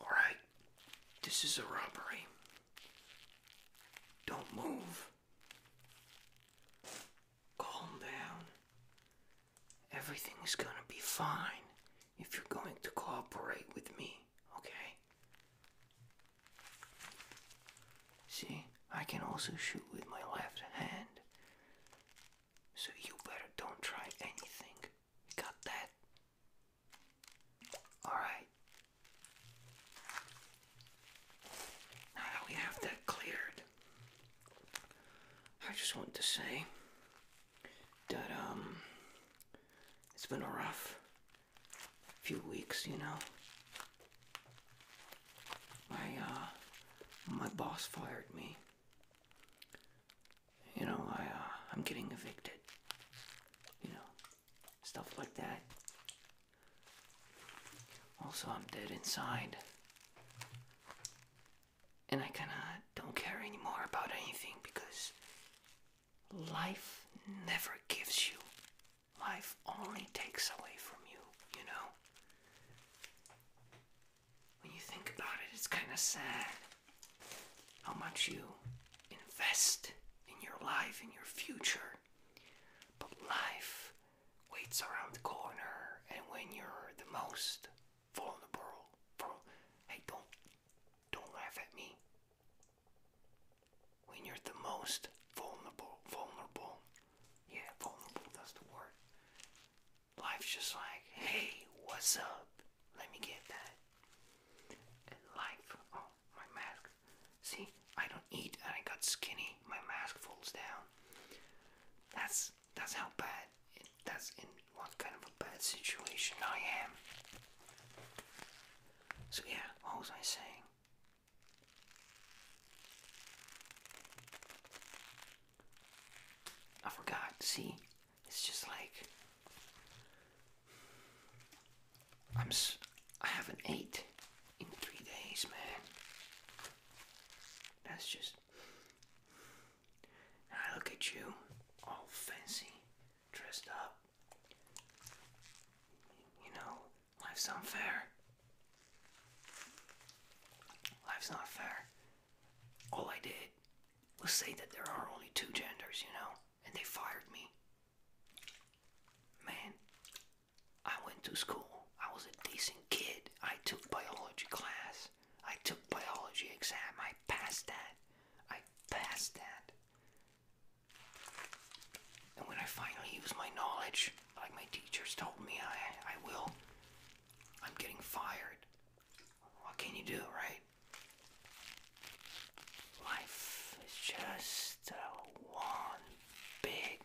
Alright, this is a robbery. Don't move. Calm down. Everything's gonna be fine if you're going to cooperate with me, okay? See, I can also shoot with my left hand. So you better don't try anything got that? Alright. Now that we have that cleared, I just want to say that, um, it's been a rough few weeks, you know. My, uh, my boss fired me you know, I, uh, I'm getting evicted. You know, stuff like that. Also, I'm dead inside. And I kinda don't care anymore about anything because life never gives you. Life only takes away from you, you know? when you think about it, it's kind of sad how much you invest in your life, in your future. But life waits around the corner, and when you're the most vulnerable, hey, don't, don't laugh at me. When you're the most vulnerable, vulnerable, yeah, vulnerable, that's the word. Life's just like, hey, what's up? Let me get that. life, oh, my mask. See, I don't eat and I got skinny. My mask falls down. That's that's how bad. that's in what kind of a bad situation I am. So yeah, what was I saying? I forgot. See, it's just like I'm. S I haven't ate in three days, man. That's just. I look at you, all fancy, dressed up. You know, life's unfair. Life's not fair all I did was say that there are only two genders, you know, and they fired me. Man, I went to school. I was a decent kid. I took biology class. I took biology exam. I passed that. I passed that. And when I finally use my knowledge, like my teachers told me I, I will, I'm getting fired. What can you do, right? Life is just one big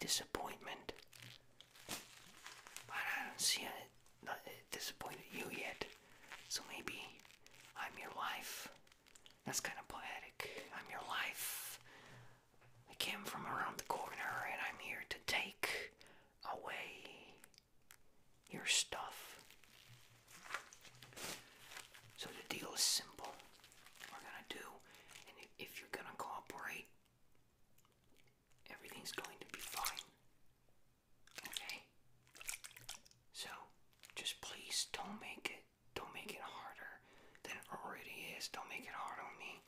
disappointment. But I don't see it disappointed you yet. So maybe I'm your life. That's kind of poetic. I'm your life. I came from around the corner and I'm here to take away your stuff. So the deal is simple. We're gonna do, and if you're gonna cooperate, everything's going to be fine. Okay? So, just please don't make it, don't make it harder than it already is. Don't make it hard on me.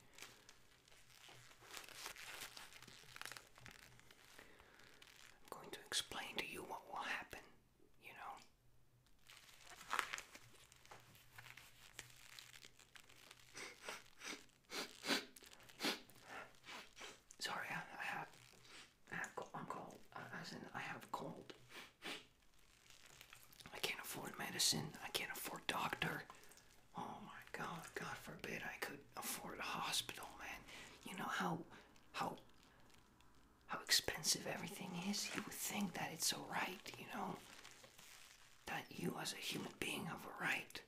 I'm going to explain to you what will happen, you know. Sorry, I, have, I am cold. Uh, I have a cold. I can't afford medicine. I can't afford doctor. Oh my God! God forbid I could afford a hospital, man. You know how, how, how expensive everything is. You would think that it's a right, you know, that you as a human being have a right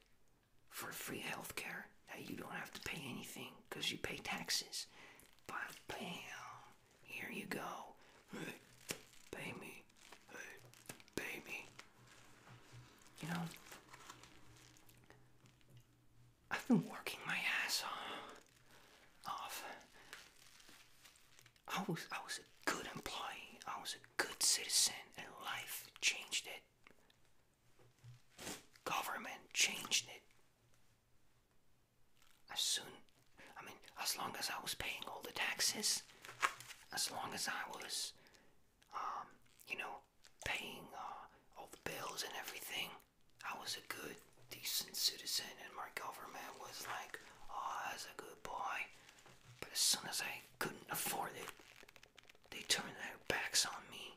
for free healthcare. That you don't have to pay anything because you pay taxes. But bam, here you go. pay me. pay me. You know, I've been working my ass off. I was I was a good employee. I was a good citizen, and life changed it. Government changed it. As soon, I mean, as long as I was paying all the taxes, as long as I was um, you know, paying uh, all the bills and everything. I was a good, decent citizen, and my government was like, oh, that's a good boy. But as soon as I couldn't afford it, they turned their backs on me,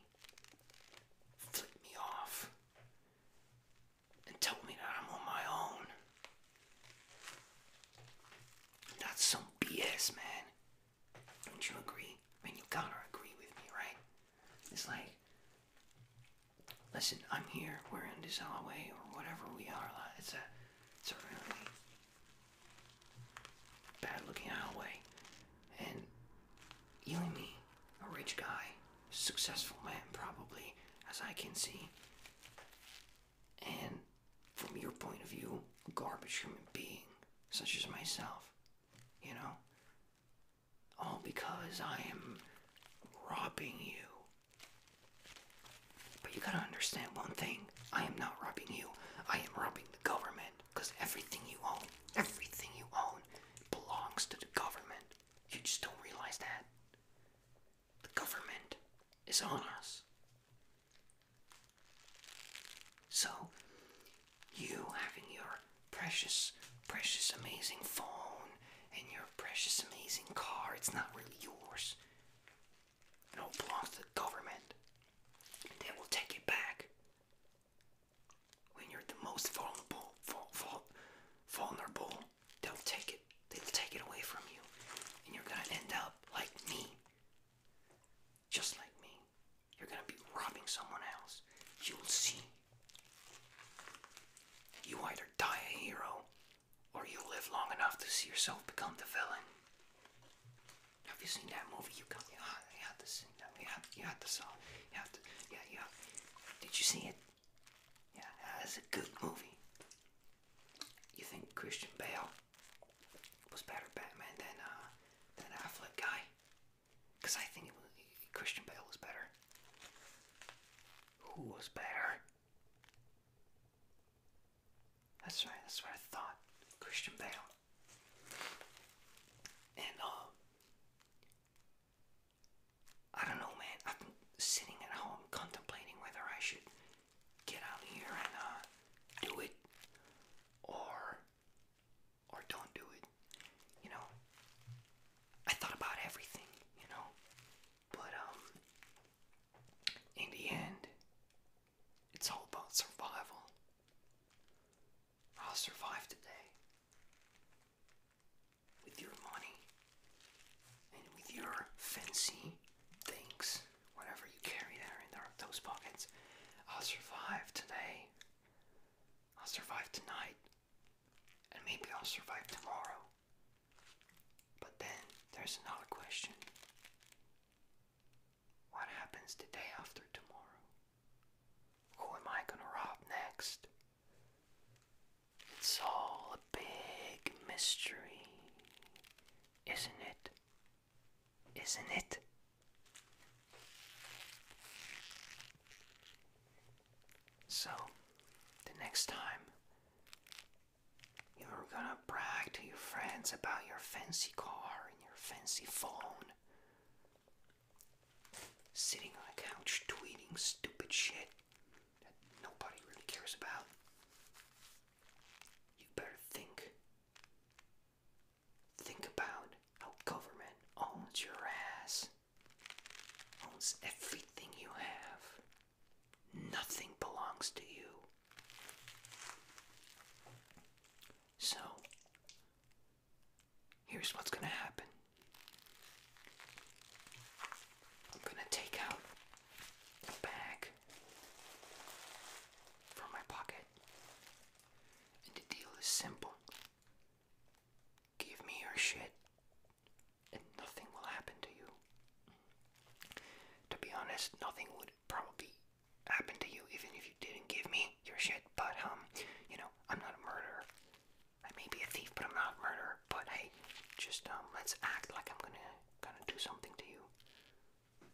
flipped me off, and told me that I'm on my own. That's some BS, man. Don't you agree? I mean, you gotta agree with me, right? It's like, listen, I'm here. We're in this hallway or whatever we are. It's a, it's a really bad-looking hallway, and you and me, a rich guy, successful man, probably, as I can see and from your point of view, garbage human being, such as myself, you know? All because I am robbing you. But you gotta understand one thing I am not robbing you, I am robbing the government, because everything you own, everything you own, belongs to the government. You just don't realize that. The government is on us. So, you having your precious, precious, amazing phone and your precious, amazing car, it's not really yours. No, it belongs to the government. They will take it back when you're the most vulnerable. Vulnerable, they'll take it. They'll take it away from you, and you're gonna end up like me, just like me, you're gonna be robbing someone else. You'll see. You either die a hero or you live long enough to see yourself become the villain. Have you seen that movie? You got yeah, you had to see that. You had, you had to saw. You had to, yeah, yeah. Did you see it? Yeah, that's a good movie. You think Christian Bale was better Batman than uh, than Affleck guy? Cause I think Christian Bale was better. Who was better? That's right. That's what I thought. Christian Bale. And uh, I don't know, man. I've sitting at home contemplating whether I should get out here and uh, do it, or or don't do it. You know, I thought about everything, you know, but um, in the end, it's all about survival. I'll survive today with your money and with your fancy things whatever you carry there in those pockets. I'll survive today. I'll survive tonight. And maybe I'll survive tomorrow. But then there's another question. What happens today after tomorrow? Who am I gonna rob next? It's all a big mystery, isn't it? isn't it? So, the next time you're gonna brag to your friends about your fancy car and your fancy phone, sitting on a couch tweeting stupid shit that nobody really cares about. You better think. Think about how government owns your ass, owns everything you have. Nothing belongs to you. So, here's what's gonna happen I'm gonna take out bag from my pocket. And the deal is simple. Give me your shit, and nothing will happen to you. To be honest, nothing would probably happen to you even if you didn't give me your shit, but, um, you know, I'm not a murderer. I may be a thief, but I'm not a murderer. But hey, just, um, let's act like I'm gonna, gonna do something to you.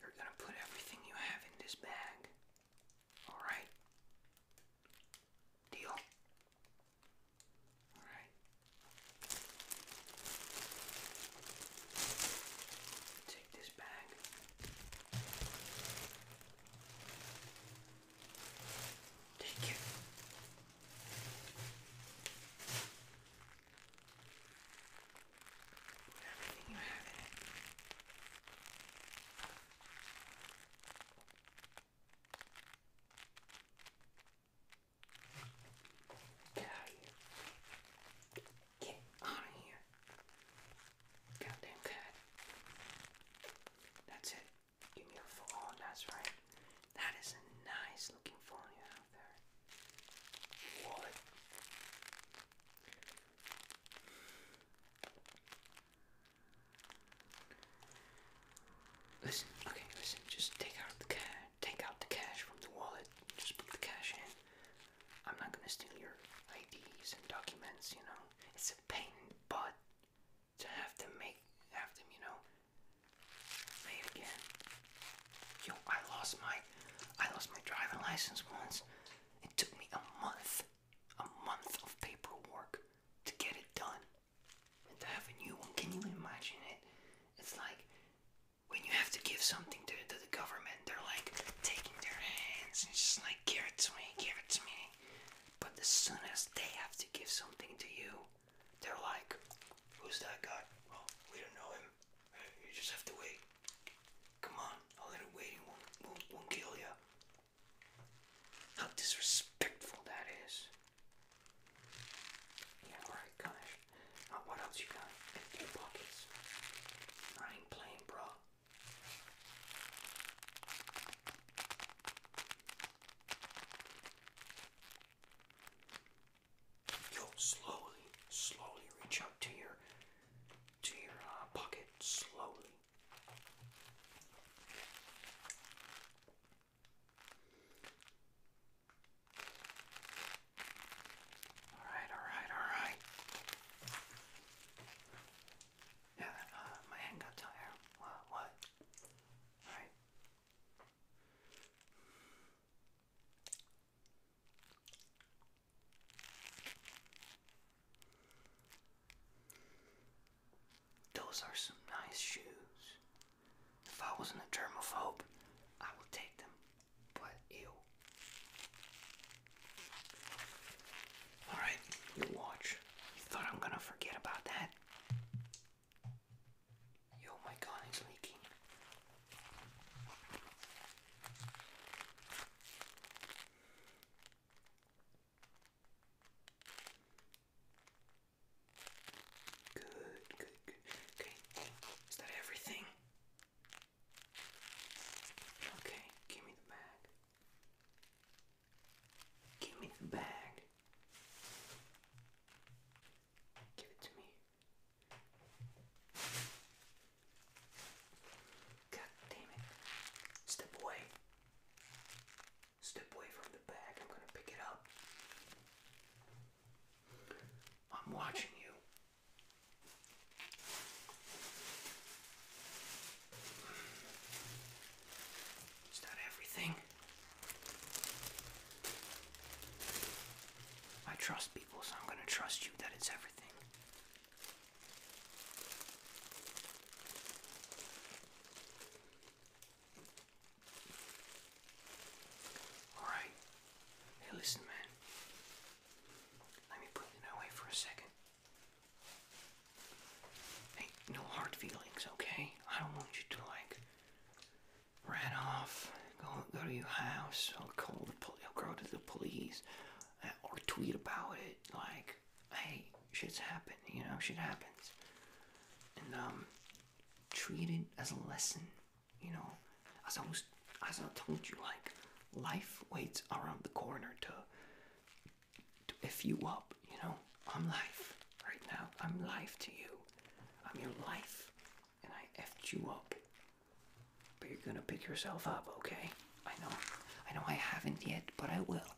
You're gonna put everything you have in this bag. Alright? Deal? Alright. Take this bag. Take it. Get out here. Goddamn cat. That's it. Give me a phone, oh, that's right. That is a nice looking phone you have there. Listen, okay, listen, just take out the cash, take out the cash from the wallet, just put the cash in. I'm not gonna steal your IDs and documents, you know. It's a pain but to have to make, have them, you know, again. Yo, I lost my I lost my driving license once. It took me a month. A month of paperwork to get it done. And to have a new one. Can you imagine it? It's like when you have to give something to, to the government, they're like taking their hands and just like, give it to me, give it to me. But as soon as they have to give something to you, they're like, who's that guy? Well, we don't know him. You just have to wait. Come on, a little waiting won't, will will kill you. How disrespectful that is. Yeah, right, gosh. Uh, what else you got in your pockets? I ain't playing, bro you slowly, slowly reach out to your to your uh, pocket slowly. All right, all right, all right. Yeah, uh, my hand got tired. What? What? All right. Those are some nice shoes. If I wasn't a germaphobe, I would take them. But ew. Alright, your watch. thought I'm gonna forget about that? Oh my God! is leaking. Good, good, good. Okay, is that everything? Okay, give me the bag. Give me the bag. Give it to me. God damn it. Step away. Step away from the bag. I'm gonna pick it up. I'm watching you. Is that everything? I trust people, so I'm going to trust you that it's everything. Alright. Hey, listen, man. Let me put it away for a second. no hard feelings, okay? I want you to, like, ran off, go, go to your house, I'll call the police, or go to the police, uh, or tweet about it, like, hey, shit's happened, you know, shit happens. And, um, treat it as a lesson, you know, as I was, as I told you, like, life waits around the corner to, to F you up, you know, I'm life right now, I'm life to you. I'm your life, and I effed you up. But you're gonna pick yourself up, okay? I know. I know I haven't yet, but I will.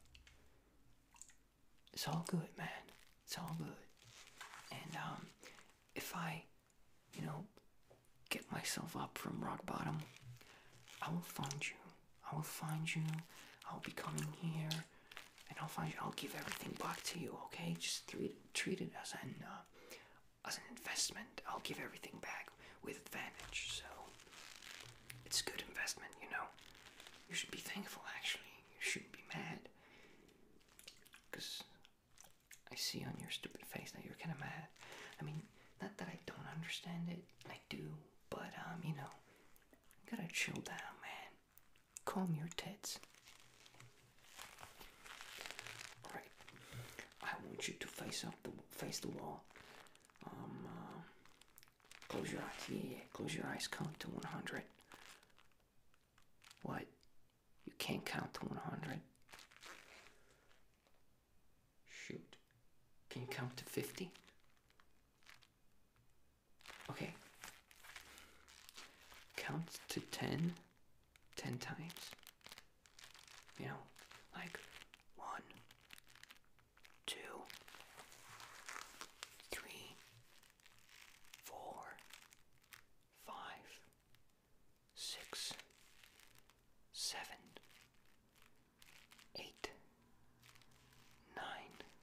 It's all good, man. It's all good. And um, if I, you know, get myself up from rock bottom, I will find you. I will find you. I'll be coming here and I'll find you. I'll give everything back to you. Okay, just treat it as an uh, as an investment. I'll give everything back with advantage. So it's a good investment, you know. You should be thankful, actually. You shouldn't be mad, because I see on your stupid face that you're kind of mad. I mean, not that I don't understand it. I do, but um, you know, gotta chill down, man. Calm your tits. Alright. I want you to face up the face the wall. Um uh, close your eyes. yeah, close your eyes, count to one hundred. What? You can't count to one hundred? Shoot. Can you count to fifty? Okay. Count to ten, ten times. You know, like one, two, three, four, five, six, seven, eight, nine.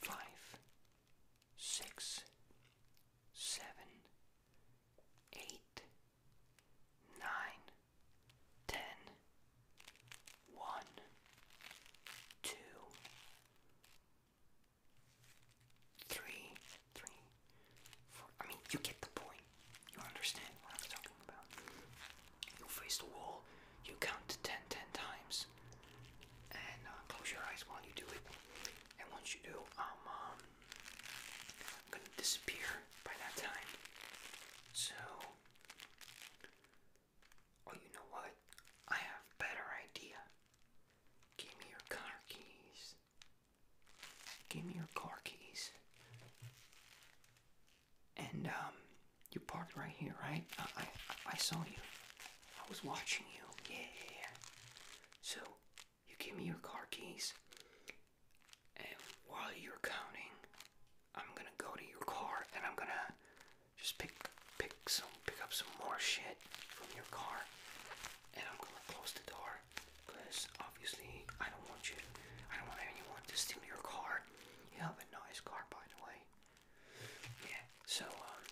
five, six, seven, eight, nine, ten, one, two, three, three, four. I mean, you get the point. You understand what I'm talking about. You'll face the wall you count to ten ten times and uh, close your eyes while you do it. And once you do, um, um, I'm, gonna disappear by that time. So, oh, you know what? I have better idea. Give me your car keys. Give me your car keys. And um, you parked right here, right? I, I, I saw you. I was watching you. Yeah. So you give me your car keys, and while you're counting, I'm gonna go to your car and I'm gonna just pick pick some pick up some more shit from your car, and I'm gonna close the door because obviously I don't want you. I don't want anyone to steal your car. You have a nice car, by the way. Yeah, so um,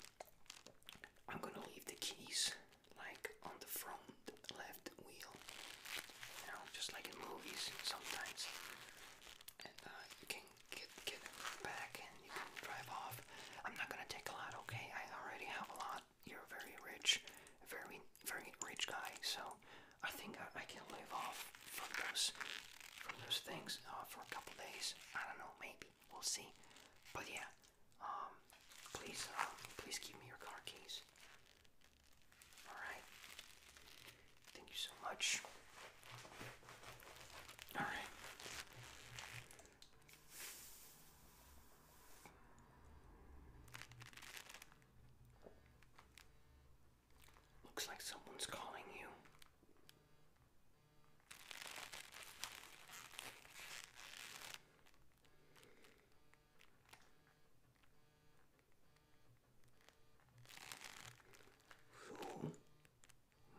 I'm gonna leave the keys like on the front left wheel. You know, just like in movies sometimes. And uh, you can get get it back and you can drive off. I'm not gonna take a lot, okay? I already have a lot. You're very rich, very very rich guy. So I think I, I can live off from those from those things uh, for a couple days. I don't know, maybe we'll see. But yeah, um, please, uh, please give me your car keys. All right. Thank you so much. All right. Looks like someone's calling you. Who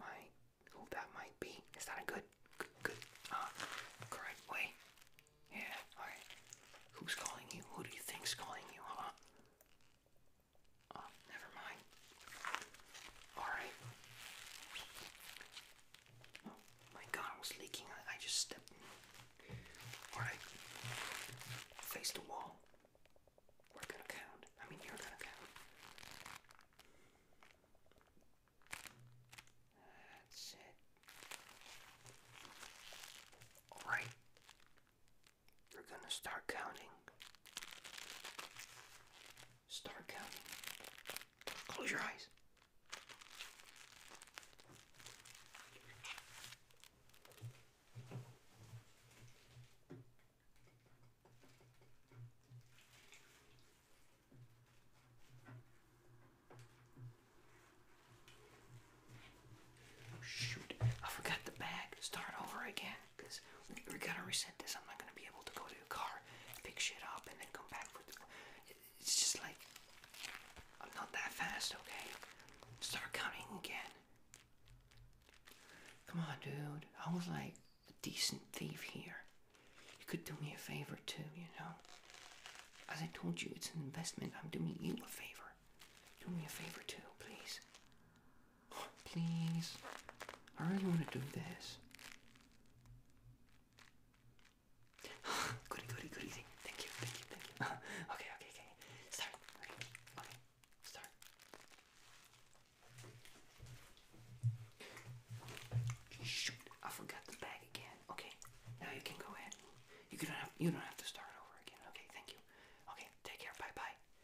might who that might be? Is that a good good, good uh, correct way? Yeah, alright. Who's calling you? Who do you think's calling you, huh? Oh, never mind. Alright. Oh my god, I was leaking. I, just stepped in. Alright. Face the wall. We're gonna count. I mean, you're gonna count. That's it. Alright you are going to start counting. Start counting. Close your eyes. Oh, shoot. I forgot the bag. Start over again. Because we, gotta reset this. I'm not gonna be able to go to the car, pick shit up, and then come back with the. It, it's just like. I'm not that fast, okay? Start coming again. Come on, dude. I was like a decent thief here. You could do me a favor too, you know? As I told you, it's an investment. I'm doing you a favor. Do me a favor too, please. Please. I really want to do this. goody, goody, goody. Thank you, thank you, thank you. okay, okay, okay. Start. Okay, okay. Start. Shoot, I forgot the bag again. Okay, now you can go ahead. You don't have you don't have to start over again. Okay, thank you. Okay, take care. Bye bye.